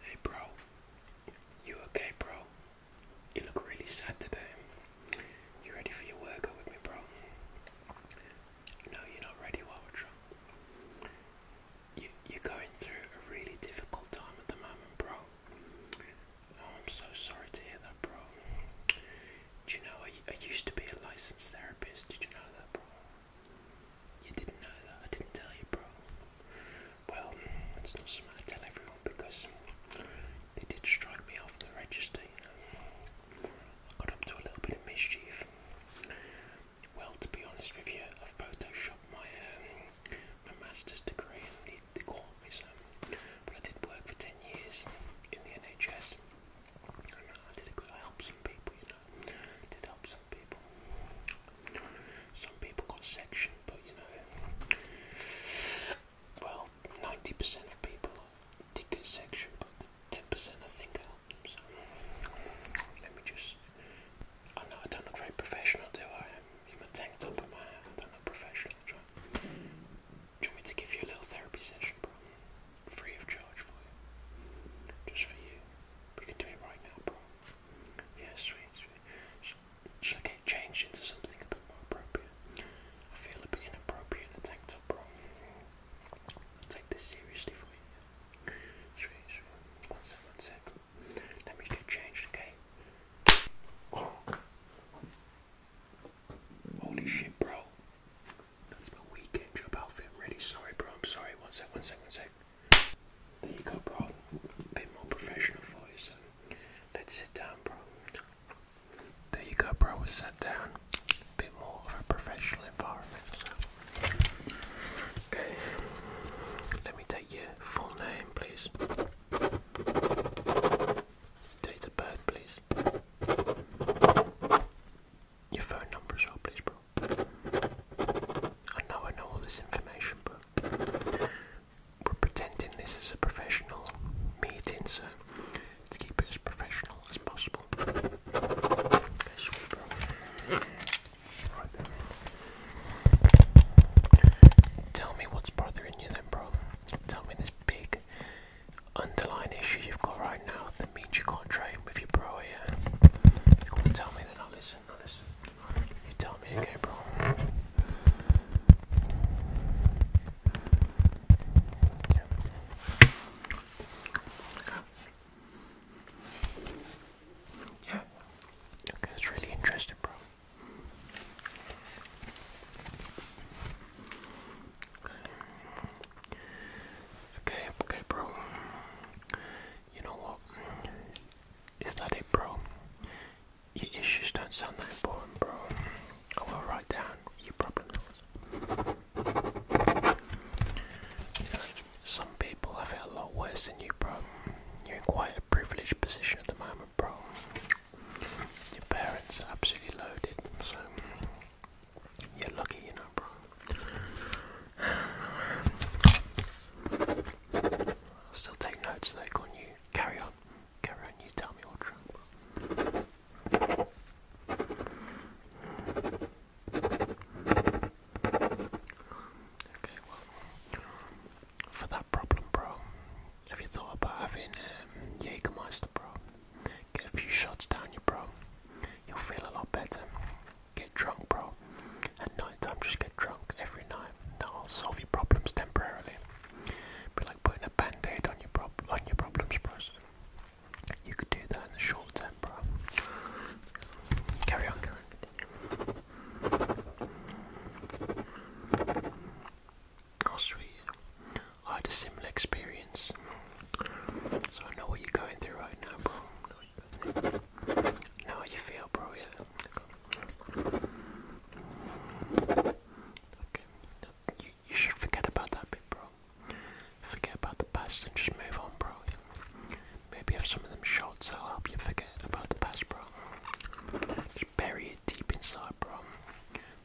Hey bro, you okay bro? You look really sad today. You ready for your workout with me bro? No, you're not ready, Walter. You, are going through a really difficult time at the moment, bro. Oh, I'm so sorry to hear that, bro. Do you know, I, I used to be a licensed therapist. Did you know that, bro? You didn't know that? I didn't tell you, bro. Well, it's not something I tell everyone because they did strike me off the register, I got up to a little bit of mischief. Well, to be honest with you, I photoshopped my um, my master's degree and they, they caught me, so. But I did work for 10 years in the NHS. I did a good, I helped some people, you know. did help some people. Some people got section, but you know, well, 90% of people did get section, but 10% I think helped them. So let me just. I know I don't look very professional, do I? I'm in my tank top and my hat. I don't look professional. Do you, do you want me to give you a little therapy session, bro? Free of charge for you. Just for you. We can do it right now, bro. Yeah, sweet, sweet. get changed into something a bit more appropriate? I feel a bit inappropriate in a tank top, bro. take this seriously for you. Sweet, sweet. One sec, one Let me get changed, okay? Holy shit, bro. That's my weekend job outfit. I'm really sorry, bro. I'm sorry. One sec, one sec, one sec. There you go, bro. A bit more professional for you, so let's sit down, bro. There you go, bro. We sat down. A bit more of a professional environment, so. Okay. Let me take your full name, please. Date of birth, please your phone number as well, please, bro. I know I know all this information, but we're pretending this is a professional meeting, so us keep it as professional as possible. Sweet, bro. Right then. Tell me what's bothering you, then, bro. Tell me this big underlying issue you've got right now that means you can't train with your bro here. Come on, tell me, then I'll listen. i listen. You tell me, okay, bro? yeah. Okay, that's really interesting, bro. Okay, okay, bro. You know what? Is that it, bro? Your issues don't sound that important, bro. I will write down your problems. some people have it a lot worse than you, bro. You're in quite a privileged position at the moment, bro. Your parents are absolutely loaded, so you're lucky, you know, bro. I'll still take notes They go on you. Carry on. Carry on, you tell me what's wrong. Okay, well, for that problem, bro, have you thought about having um, Jägermeister, bro? Get a few shots down you, bro. You'll feel a lot better. Get drunk, bro. At night time, just get drunk every night. That'll solve your problems temporarily. Be like putting a band-aid on your prob on your problems, bro. You could do that in the short term, bro. carry on. Oh sweet. I had a similar experience. So I know what you're going through right now, bro. Now how you feel, bro, yeah. Okay. You, you should forget about that bro. Forget about the past and just move on, bro. Maybe have some of them shots that'll help you forget about the past, bro. Just bury it deep inside bro.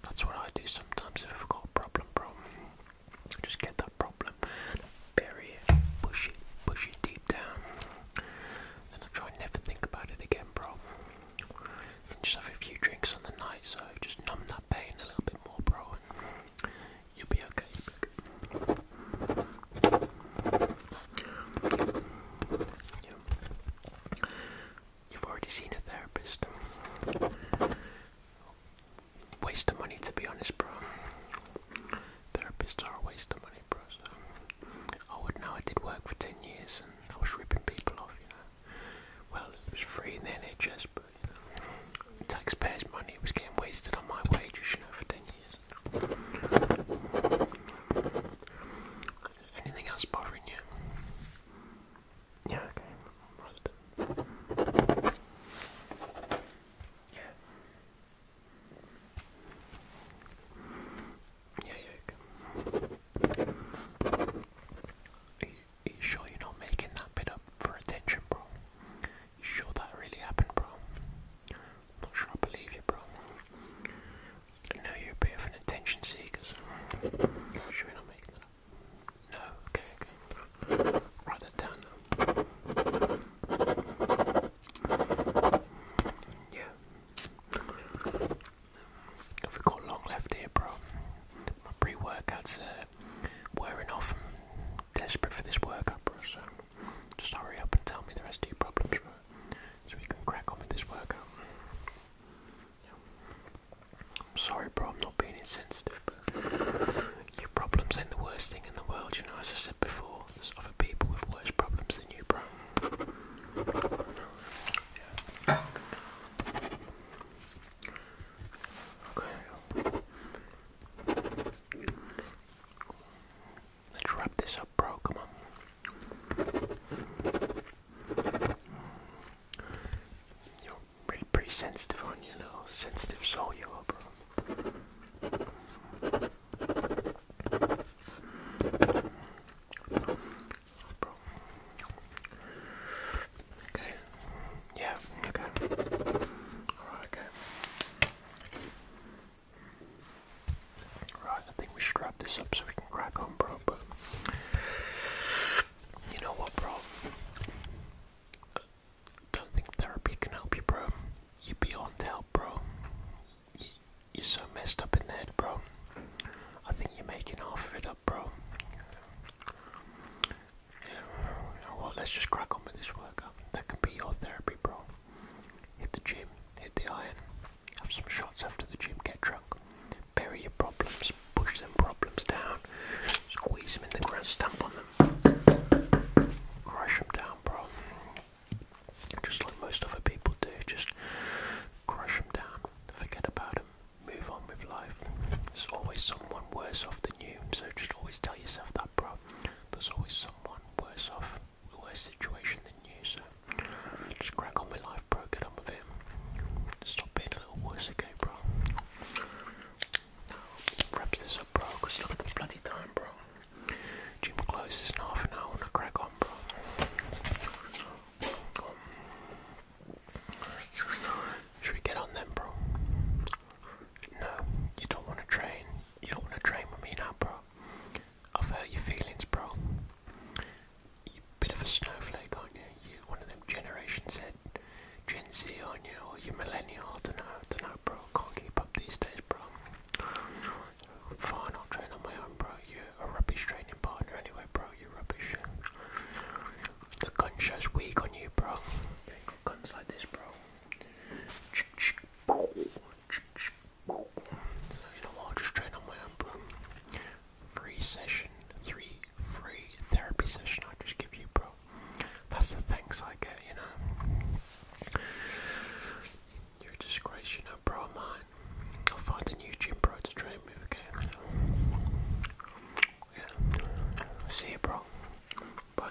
That's what I do sometimes if I've got a problem, bro. Just get that problem, bury it, push it, push it deep down. Then I try and never think about it again, bro. And just have a few drinks on the night, so just numb that pain a little bit more, bro, you'll be okay. You've already seen a therapist. Waste of money, to be honest, bro. Therapists are a waste of money, bro. I would know I did work for 10 years and I was ripping people off, you know. Well, it was free in the NHS, but, you know, taxpayers' money was getting wasted on my wages, you know, for 10 years. Anything else bothering you? yeah, okay, almost. Yeah. Yeah, yeah, you, sure you're not making that bit up for attention, bro? You sure that really happened, bro? not sure I believe you, bro. No, you're a bit of an attention seeker. Should we not make that No, okay, Write that down now. Yeah. Have we got long left here, bro? My pre-workouts wearing off. desperate for this workout, bro, so just hurry up and tell me the rest of your problems, bro. So we can crack on with this workout. I'm sorry, bro, I'm not being insensitive, but your problems ain't the worst thing in the world, you know, as I said before, there's other people with worse problems than you, bro. Let's wrap this up, bro. Come on. You're pretty, sensitive on your little sensitive soul, you are, bro. Bro. Okay. Yeah, okay. Alright, okay. Right, I think we should wrap this up so we can crack on, bro. But you know what, bro? don't think therapy can help you, bro. You're beyond help, bro. You're so messed up in the head, bro. I think you're making half of it up, bro. Yeah, well, let's just crack on with this workout. That can be your therapy, bro. Hit the gym, hit the iron, have some shots after the gym, get drunk, bury your problems, push them problems down, squeeze them in the ground, stamp on them, crush them down, bro. Just like most other people do, just crush them down, forget about them, move on with life. There's always someone worse off than you, so just always tell yourself that, bro. There's always someone worse off worse situation than you, so just crack on with life, bro. Get on with it. Stop being a little worse, okay, bro. Now, wraps this up, bro, because look at the bloody time, bro. Gym closes in half an hour, and I crack on, bro. Should we get on them, bro? No, you don't want to train. You don't want to train with me now, bro. I've hurt your feelings, bro. You bit of a snowflake, aren't you? You one of them Generation Z, Gen Z, aren't you? Or you millennial? I don't know. don't know, bro. Can't keep up these days, bro. Fine, I'll train on my own, bro. You're a rubbish training partner, anyway, bro. You're rubbish. The gun show's weak on you, bro. You got guns like this, bro you know I'll just train on my own, bro. Free session, three free therapy session I just give you, bro. That's the thanks I get, you know. You're a disgrace, you know, bro, mine. I'll find a new gym bro to train with, again. yeah. See you, bro. Bye.